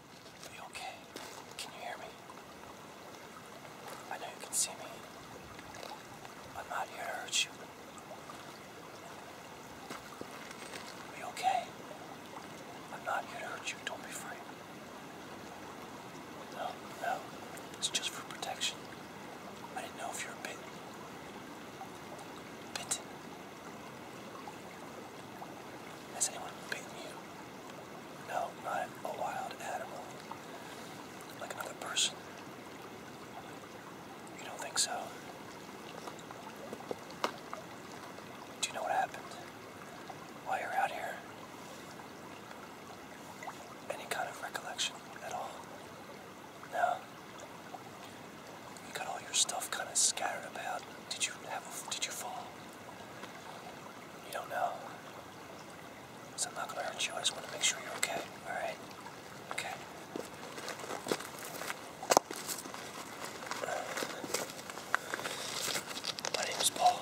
Are okay? Can you hear me? I know you can see me. I'm not here to hurt you. Are okay? I'm not here to hurt you. Don't be afraid. No, no. It's just for protection. I didn't know if you were bitten. Bitten. Has anyone bitten you? No, not a wild animal. Like another person. You don't think so? Do you know what happened while you're out here? Any kind of recollection at all? No. You got all your stuff kind of scattered about. Did you have? Did you fall? You don't know. So I'm not gonna hurt you. I just want to make sure you're okay. All right? Okay. My name is Paul.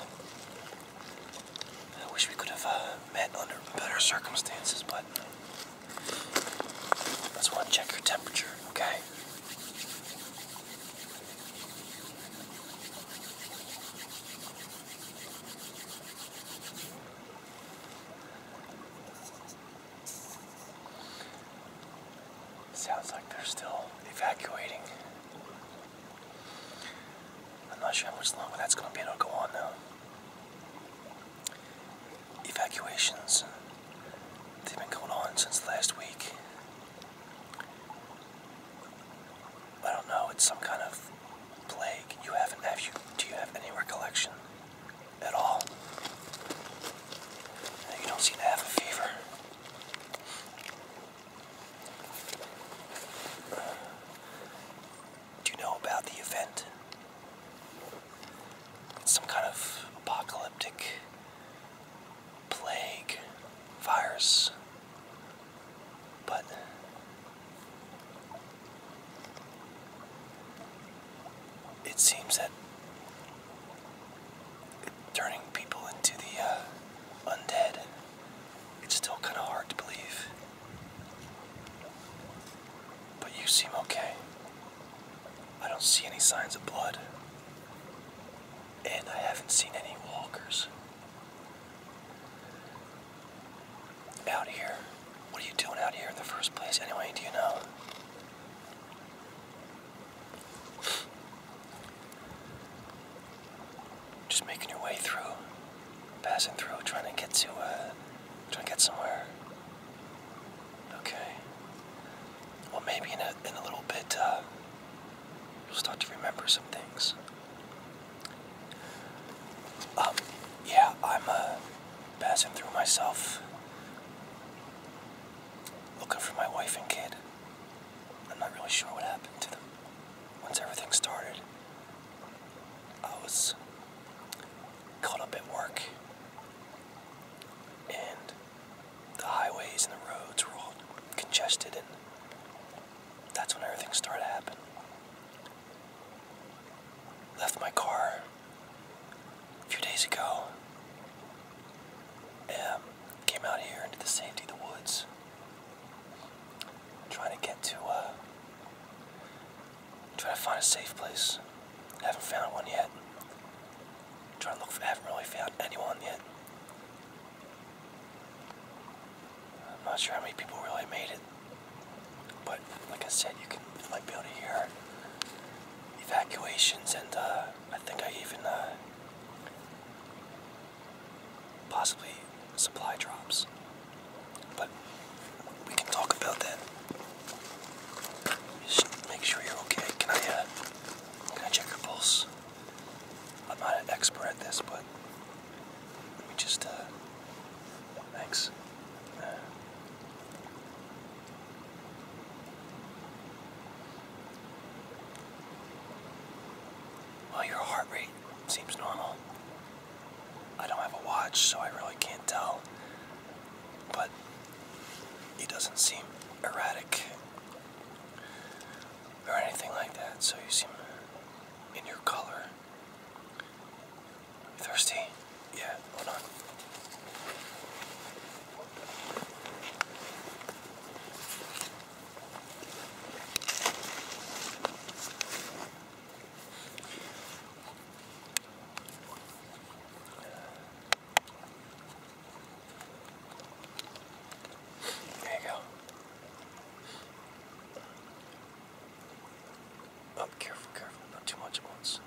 I wish we could have uh, met under better circumstances, but uh, I just want check your temperature, okay? Sounds like they're still evacuating. I'm not sure how much longer that's going to be able to go on now. Evacuations, they've been going on since last week. I don't know. It's some kind of plague. Do you have any recollection at all? You don't seem to have a fever. Do you know about the event? It's some kind of apocalyptic plague, virus, but it seems that turning people into the uh, undead, it's still kind of hard to believe. But you seem okay. I don't see any signs of blood and I haven't seen any walkers out here. What are you doing out here in the first place, anyway? Do you know? Just making your way through, passing through, trying to get to, uh, trying to get somewhere. Okay. Well, maybe in a, little bit, uh, you'll start to remember some things. Um, yeah, I'm uh, passing through myself, looking for my wife and kid. I'm not really sure what happened to them. Once everything started, I was caught up at work and the highways and the roads were all congested, and that's when everything started to happen. Left my car a few days ago. Um, came out here into the safety of the woods, trying to get to, uh, trying to find a safe place. Haven't found one yet. Trying to look I haven't really found anyone yet. I'm not sure how many people really made it. But like I said, you can you might be able to hear evacuations, and uh, I think I even uh, possibly supply drops. But we can talk about that. Just make sure you're okay. Can I uh, I'm check your pulse. I'm not an expert at this, but let me just, uh, thanks. well, your heart rate seems normal. I don't have a watch, so I really can't tell but he doesn't seem erratic or anything like that, so you seem in your color. Thirsty? Yeah, hold on. There you go. Oh, careful, careful, not too much at once.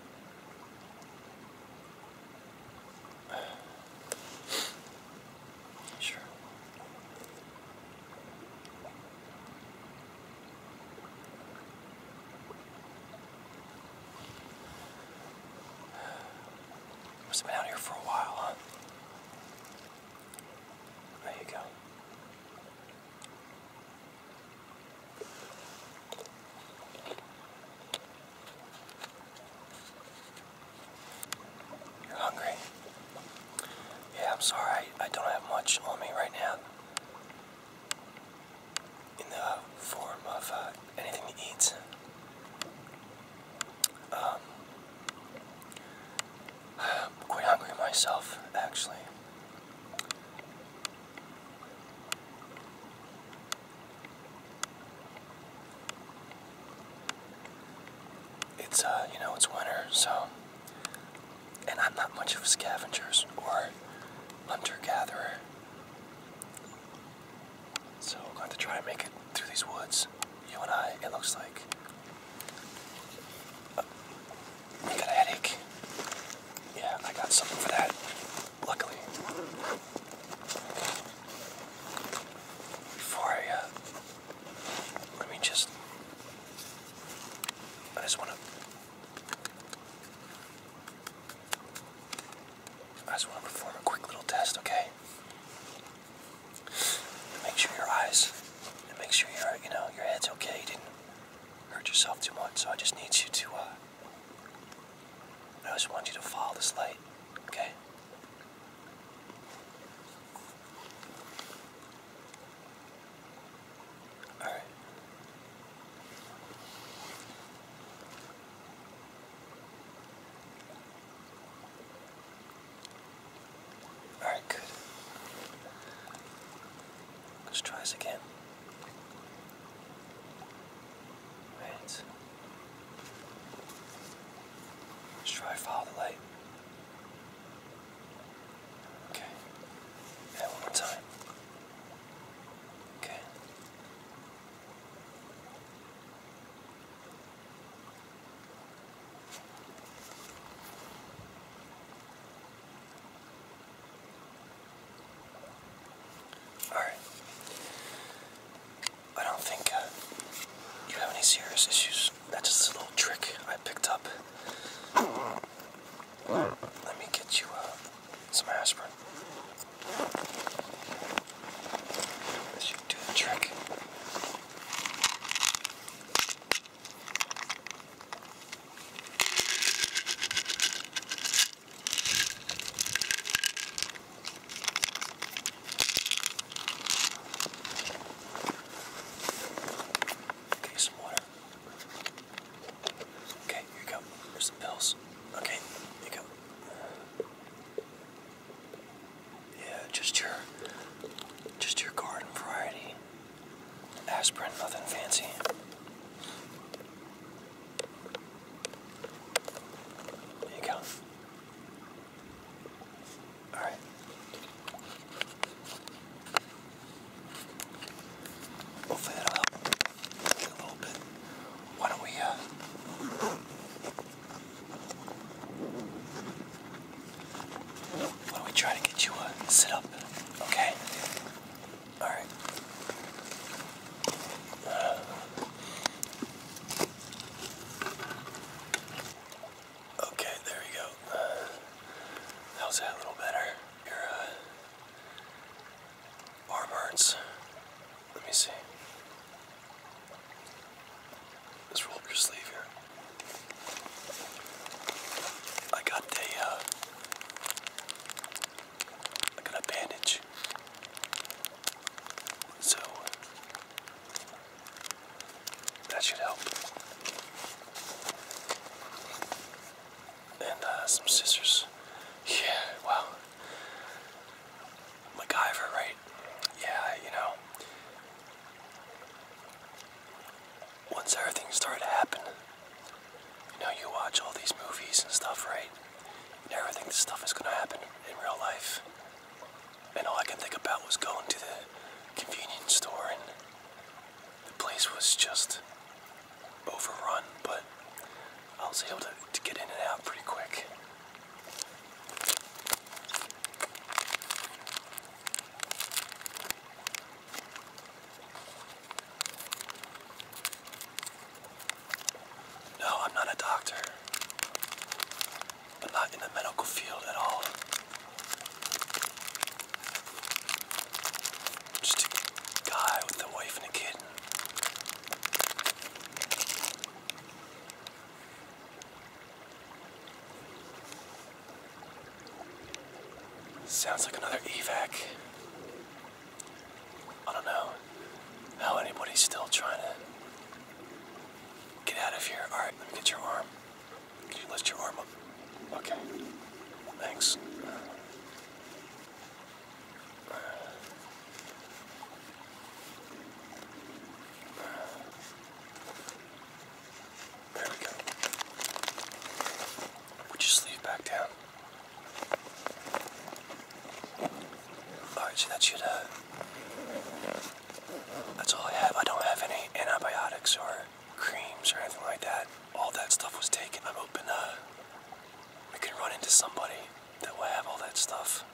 Sure. Must have been out here for a while, huh? There you go. You're hungry? Yeah, I'm sorry. I, I don't have much on me right now in the form of uh, anything to eat. Um, I'm quite hungry myself, actually. It's, uh, you know, it's winter, so. And I'm not much of a scavenger or hunter gatherer. So we're going to try to make it through these woods. You and I, it looks like. Uh, got a headache? Yeah, I got something for that, luckily. Before I, uh, let me just, I just want to I just want to perform a quick little test, okay? make sure your eyes, make sure your, you know, your head's okay. You didn't hurt yourself too much. So I just need you to, uh, I just want you to follow this light, okay? All right. All right, good. Let's try this again. Right. Let's try follow the light. Okay. And one more time. Okay. All right. I don't think uh, you have any serious issues. That's just a little trick I picked up. Let me get you uh, some aspirin. This should do the trick. Okay, some water. Okay, here you go. Here's the pills. Okay, here you go. Yeah, just your, just your garden variety. Aspirin, nothing fancy. There you go. All right. We'll fill a little bit. Why don't we, uh, why don't we try to get you a uh, sit up, okay? Alright. okay, there we go. Uh, how's a little better? Your uh, arm hurts. Let me see. Let's roll up your sleeve here. I got a, uh, got a bandage. So, that should help and uh, some scissors. Yeah, wow. MacGyver, right? Yeah, you know. Once everything started to happen, you know, you watch all these movies and stuff, right? You never this stuff is gonna happen in real life. And all I can think about was going to the convenience store and the place was just overrun, but I was able to, get in and out pretty quick. No, I'm not a doctor. i not in the medical field at all. Just a guy with a wife and a kid. Sounds like another evac. I don't know how anybody's still trying to get out of here. Alright, let me get your arm. Can you lift your arm up? Okay. Thanks. There we go. Would you sleeve back down? Alright, so that should, uh, that's all I have. I don't have any antibiotics or creams or anything like that. All that stuff was taken. I'm hoping uh, we can run into somebody that will have all that stuff.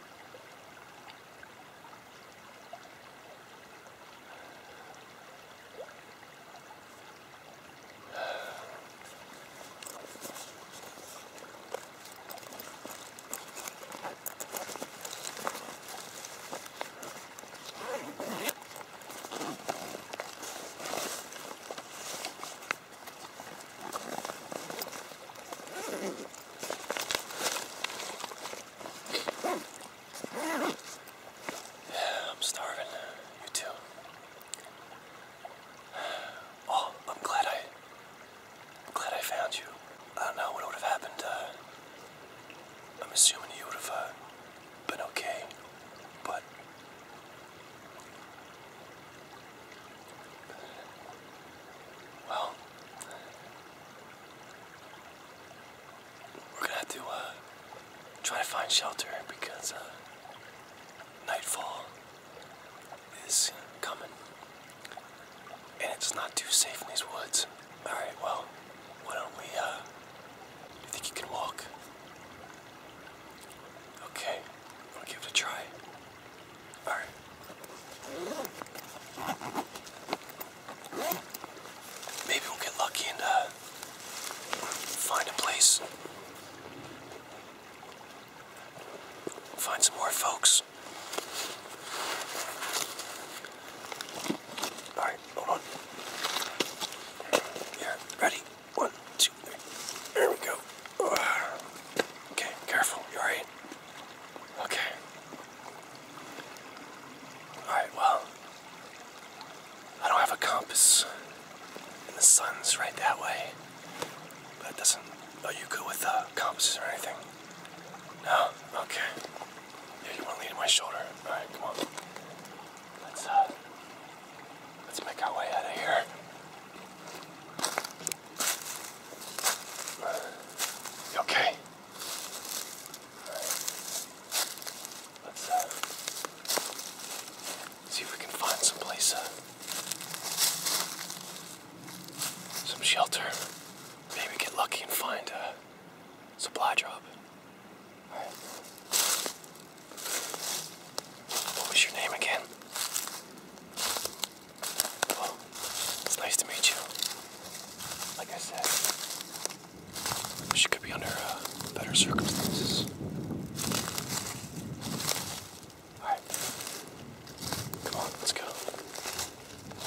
I'm starving. You too. Oh, I'm glad I. glad I found you. I don't know what would have happened. Uh, I'm assuming you would have uh, been okay, but well, we're gonna have to uh, try to find shelter because uh, nightfall is coming, and it's not too safe in these woods. All right. Well, why don't we? Uh, you think you can walk? Okay. I'm give it a try. All right. Maybe we'll get lucky and uh, find a place. Find some more folks. All hold on. Yeah, ready? One, two, three. There we go. Ah. Okay, careful. alright? Okay. Alright, well, I don't have a compass, and the sun's right that way. That doesn't. Oh, you good with uh, compasses or anything? No? Okay. Yeah, you want to lean my shoulder. All right, come on. Let's uh, let's make our way out of here. okay? right. Let's uh, see if we can find some place, uh, some shelter. Maybe get lucky and find a. Uh, Supply drop. What was your name again? it's nice to meet you. Like I said, she could be under uh, better circumstances. Alright. Come on, let's go.